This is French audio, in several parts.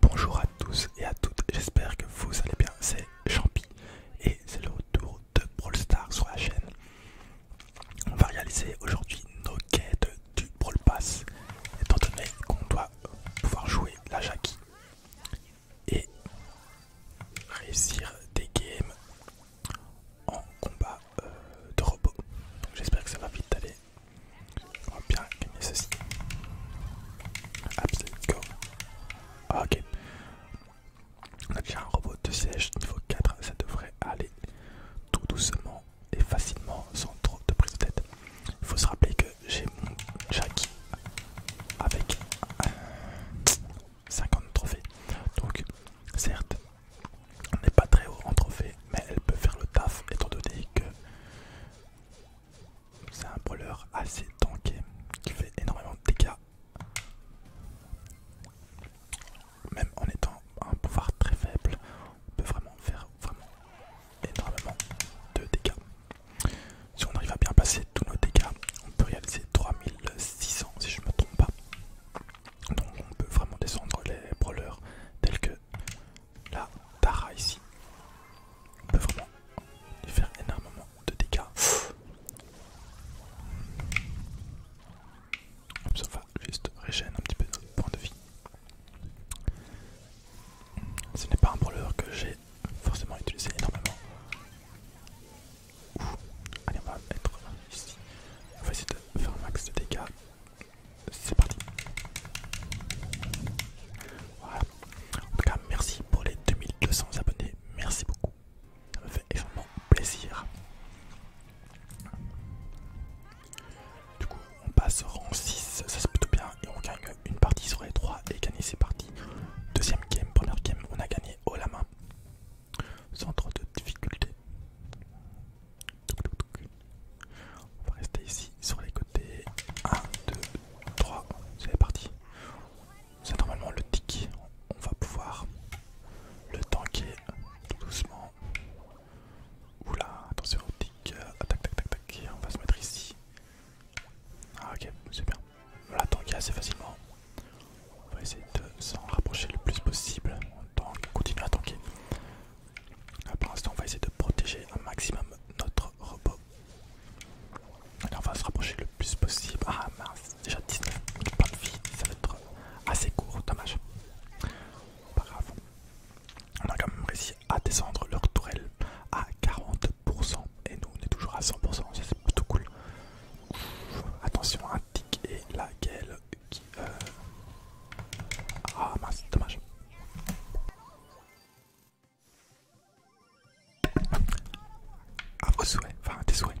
Bonjour à tous et à toutes, j'espère que vous allez bien, c'est Champi et c'est le retour de Brawl Stars sur la chaîne. On va réaliser aujourd'hui nos quêtes du Brawl Pass, étant donné qu'on doit pouvoir jouer la Jackie et réussir des games en combat euh, de robot j'espère que ça va vite aller. On oh, va bien gagner ceci. Absolute go. Ah, ok. On a déjà un robot de siège niveau 4. Ça devrait aller tout doucement et facilement sans trop de prise de tête. Il faut se rappeler que j'ai mon Jackie avec 50 trophées. Donc, certes, on n'est pas très haut en trophées, mais elle peut faire le taf étant donné que c'est un brawler assez tanké qui fait énormément de dégâts. Même en étant un pouvoir très faible, on peut vraiment faire vraiment énormément de dégâts. Si on arrive à bien placer tous nos dégâts, on peut réaliser 3600 si je ne me trompe pas. Donc on peut vraiment descendre les brawlers tels que la Tara ici peut vraiment lui faire énormément de dégâts. Ça va juste régénérer un petit peu notre point de vie. Ce n'est pas un brawler que j'ai forcément utilisé énormément. Allez, on va mettre ici. On va essayer de faire un max de dégâts c'est parti. Voilà. En tout cas, merci pour les 2200 abonnés. Merci beaucoup. Ça me fait énormément plaisir. Du coup, on passe au rang 6. Ça, c'est plutôt bien. Et on gagne une partie sur les 3 et gagner c'est parti Deuxième game, première game, on a gagné haut la main. Sans trop de difficultés. On va rester ici sur les côtés. 1, 2, 3. C'est parti. C'est normalement le tic, On va pouvoir le tanker doucement. Oula, attention au tic. Tac, tac, tac, tac. On va se mettre ici. Ah, ok, c'est bien. On l'a tanké assez facilement. On va essayer de s'en rapprocher le plus possible. On, continue à tanker. Pour l'instant, on va essayer de protéger un maximum notre on va se rapprocher le plus possible. Ah mince, déjà 19 pas de vie, ça va être assez court, dommage. Pas grave. On a quand même réussi à descendre leur tourelle à 40% et nous on est toujours à 100%, c'est plutôt cool. attention, un tic et la gueule euh, Ah mince, dommage. Ah, vos souhaits, enfin tes souhaits.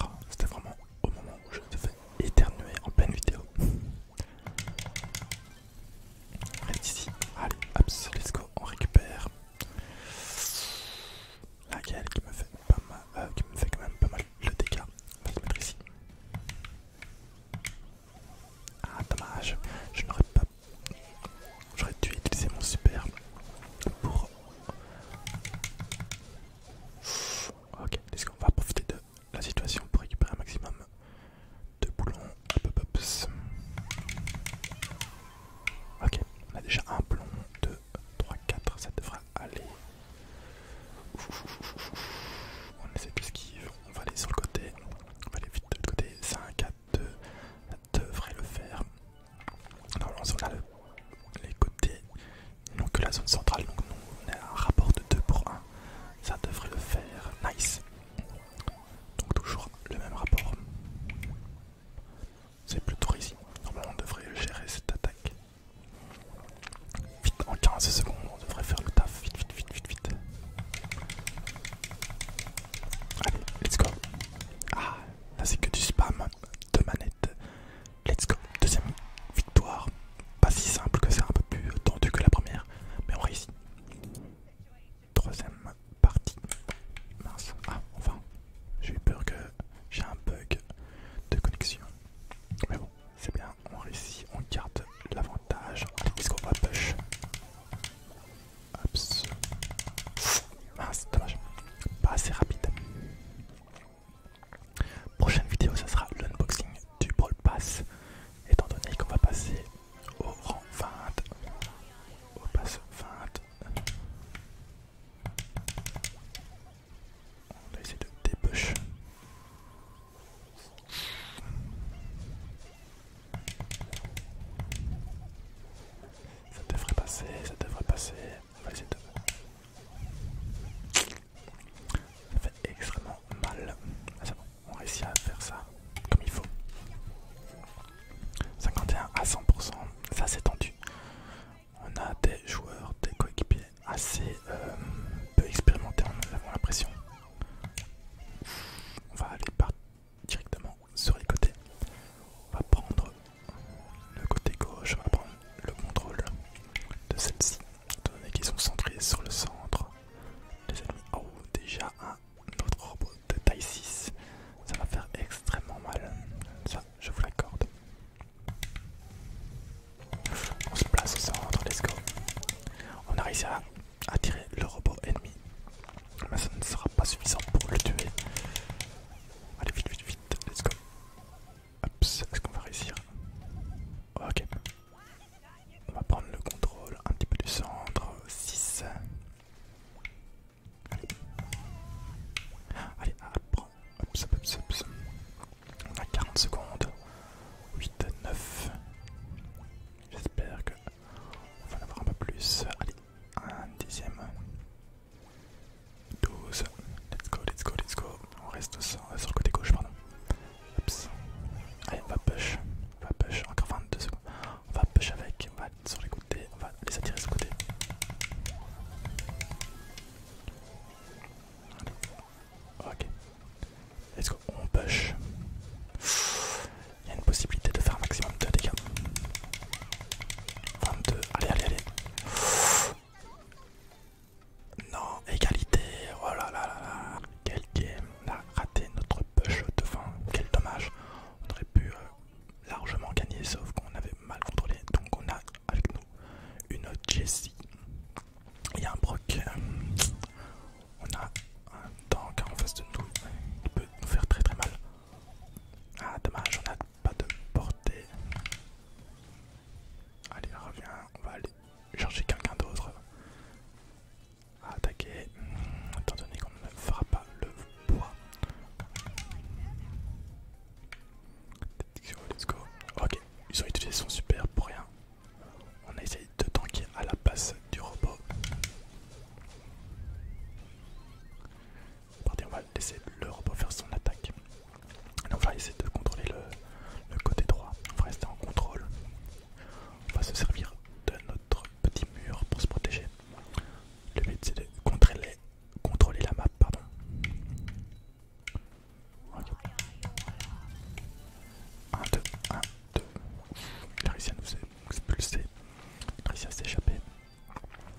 Ah, c'était vraiment au moment où je devais éternuer en pleine vidéo. Reste ici, allez, hop, let's go, on récupère. Laquelle qui me fait pas mal, euh, qui me fait quand même pas mal le dégâts On va ici. Ah dommage, je n'aurais pas... J'aurais dû utiliser mon super pour... Ok, est on va profiter de la situation pour récupérer un maximum de boulons. Ok, on a déjà un boulon, deux, 3, 4, ça devrait aller. On essaie qui on va aller sur le côté, on va aller vite de l'autre côté, 5, 4, 2, ça devrait le faire. Normalement on a les côtés, non que la zone centrale, donc nous, on a un rapport de 2 pour 1, ça devrait le faire, nice. Donc toujours le même rapport. C'est plutôt ici, normalement on devrait gérer cette attaque. Vite, en 15 secondes, on devrait faire le taf. Vite, vite, vite, vite, vite. Allez, let's go. Ah, là c'est que du spam de manette. Let's go. Deuxième victoire. Pas si simple que ça, un peu plus tendu que la première, mais on réussit. Troisième partie. Mince. Ah, enfin, j'ai eu peur que j'ai un bug de connexion. Mais bon, c'est bien, on réussit, on garde l'avantage. puisqu'on qu'est-ce va push Mince, ah, dommage. Pas assez rapide. Prochaine vidéo, ça sera l'unboxing du Brawl Pass. Étant donné qu'on va passer au rang 20. Au pass 20. On va essayer de dé-push. Ça devrait passer, ça devrait passer. Ça fait extrêmement mal. Ah, on réussit à faire ça comme il faut. 51 à 100%, ça c'est tendu. On a des joueurs, des coéquipiers assez euh, peu expérimentés, on a l'impression. On va aller directement sur les côtés. On va prendre le côté gauche, on va prendre le contrôle de celle-ci, étant donné sont centrés sur le centre. Les ennemis, oh, déjà un autre robot de taille 6, ça va faire extrêmement mal. Ça, je vous l'accorde. On se place au centre, let's go. On a réussi à attirer le robot ennemi. Mais ça ne sera pas suffisant pour le tuer. Allez, vite, vite, vite, let's go. Est-ce qu'on va réussir Ok. On va prendre le contrôle un petit peu du centre. 6. Allez. On a 40 secondes. 8, 9. J'espère que on va en avoir un peu plus. Allez, un dixième. 12. Let's go, let's go, let's go. On reste sur, sur le côté gauche, pardon. Allez, on va push. On va push. Encore 22 secondes. On va push avec. On va sur les côtés. On va les attirer sur le côté. Ok. Est-ce qu'on push. Il y a une possibilité de faire un maximum de dégâts. 22, allez, allez, allez. Non, égalité, oh là là là Quel game, on a raté notre push de fin, quel dommage. On aurait pu euh, largement gagner, sauf qu'on avait mal contrôlé. Donc on a avec nous une Jessie il y a un broc. On a un tank en face de nous il peut nous faire très très mal. Ah, dommage, on n'a pas de portée. Allez, reviens, on va aller chercher quelqu'un d'autre attaquer. Étant donné qu'on ne fera pas le bois. Let's go. Ok, ils ont utilisé son super pour rien. On essayé de tanker à la passe du robot. on va laisser le robot faire son attaque. on va essayer de contrôler le, côté droit. On va rester en contrôle. On va se servir de notre petit mur pour se protéger. Le but c'est de contrôler, la map. Pardon. 1, 2, 1, 2. Il a réussi à nous expulser. Il a réussi à s'échapper.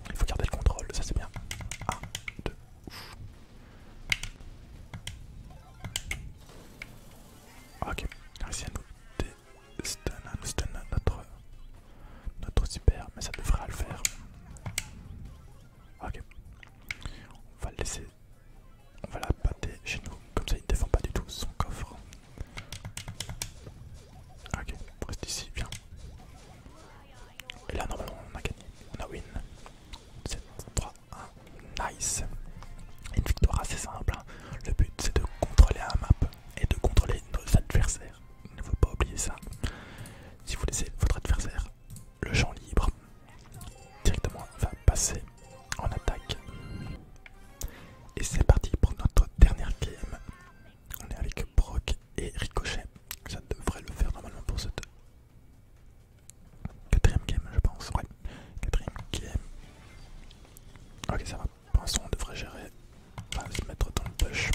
Il faut garder le contrôle, ça c'est bien. 1, 2. Ok, il a réussi à nous destun, stun notre super, mais ça devrait le faire. Ok, on va le laisser on va la pâter chez nous. Comme ça, il ne défend pas du tout son coffre. Ok, reste ici, viens. Et là, normalement, on a gagné. On a win. 7, 3, 1. Nice. Une victoire assez simple. Hein. Le but, c'est de contrôler un map et de contrôler nos adversaires. Il ne faut pas oublier ça. Si vous laissez votre adversaire le champ libre, directement va passer en attaque. Et c'est parti pour notre dernière game. On est avec Brock et Ricochet. Ça devrait le faire normalement pour cette quatrième game, je pense. Ouais, quatrième game. Ok, ça va. Pour on devrait gérer. se mettre dans le push.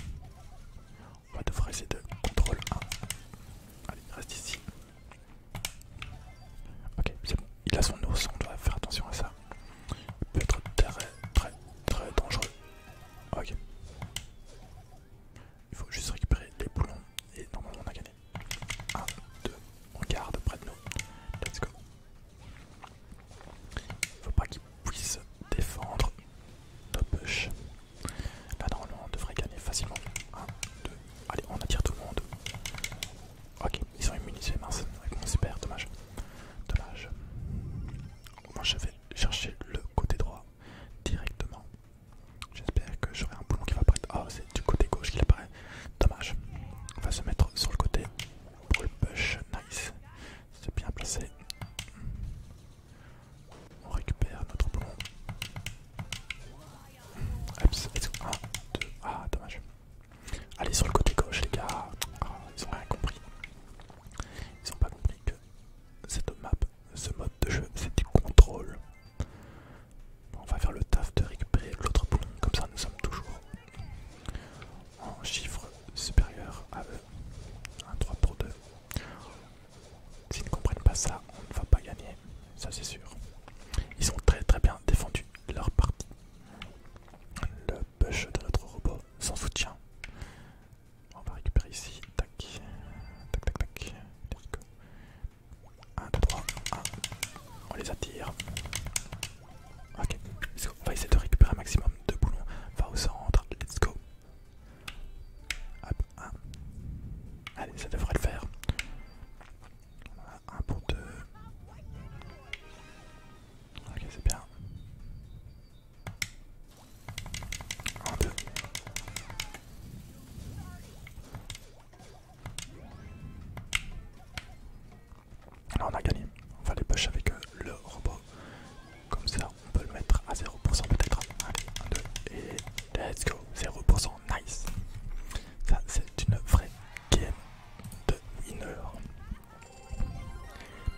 On va devrait essayer de contrôle reste ici. Ok, c'est Il a son ours, on doit faire attention à ça. Il peut être très très très dangereux. Ok. Il faut juste récupérer les boulons et normalement on a gagné. 1, 2, on garde près de nous. Let's go. Il ne faut pas qu'il puisse défendre nos push. Là normalement on devrait gagner facilement. 1, 2, allez on attire tout le monde. Ok, ils sont immunisés, mince. mon super, dommage. Dommage. Moi je vais chercher le côté droit directement. J'espère que j'aurai un boulon qui va apparaître. Ah, c'est du côté gauche qu'il apparaît. Dommage. On va se mettre sur le côté pour le push. Nice. C'est bien placé. On récupère notre boulon. Ah, dommage. Allez, sur le côté gauche, les gars. Ah, ils ont rien compris. Ils ont pas compris que cette map, ce mode de jeu, c'est du contrôle. On va faire le taf de récupérer l'autre boulon, comme ça nous sommes toujours en chiffres supérieurs à eux. 1, 3 pour 2. S'ils ne comprennent pas ça, on ne va pas gagner, ça c'est sûr. Ils sont très très bien défendu leur partie. Le push de notre robot sans soutien. On va récupérer ici. Tac, tac, tac, tac. 1, 2, 3, 1. On les attire. Ok, let's go. On va essayer de récupérer un maximum de boulons. Va au centre. Let's go. Hop, 1. Allez, ça devrait le faire. On a un pour deux. Ok, c'est bien. 1, 2. Là on a gagné, on va les push avec euh, le robot, comme ça on peut le mettre à 0% peut-être, allez 1, 2 et let's go, 0%, nice, ça c'est une vraie Game de winner.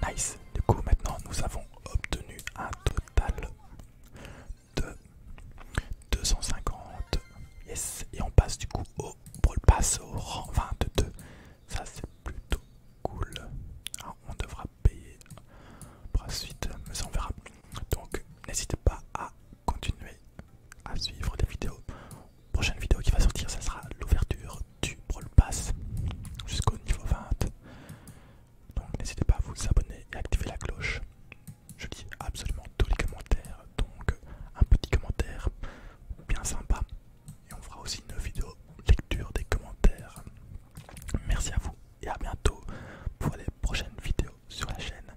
Nice. Du coup, maintenant, nous avons obtenu un total de 250. Yes. Et on passe du coup au le Pass au rang 22. Ça, c'est plutôt cool. Ah, on devra payer par la suite, mais on verra. Donc, n'hésitez pas à continuer à suivre les vidéos. Prochaine vidéo qui va sortir, ça sera l'ouverture du Brawl Pass jusqu'au niveau 20. Donc n'hésitez pas à vous abonner et activer la cloche. Je lis absolument tous les commentaires, donc un petit commentaire bien sympa. Et on fera aussi une vidéo lecture des commentaires. Merci à vous et à bientôt pour les prochaines vidéos sur la chaîne.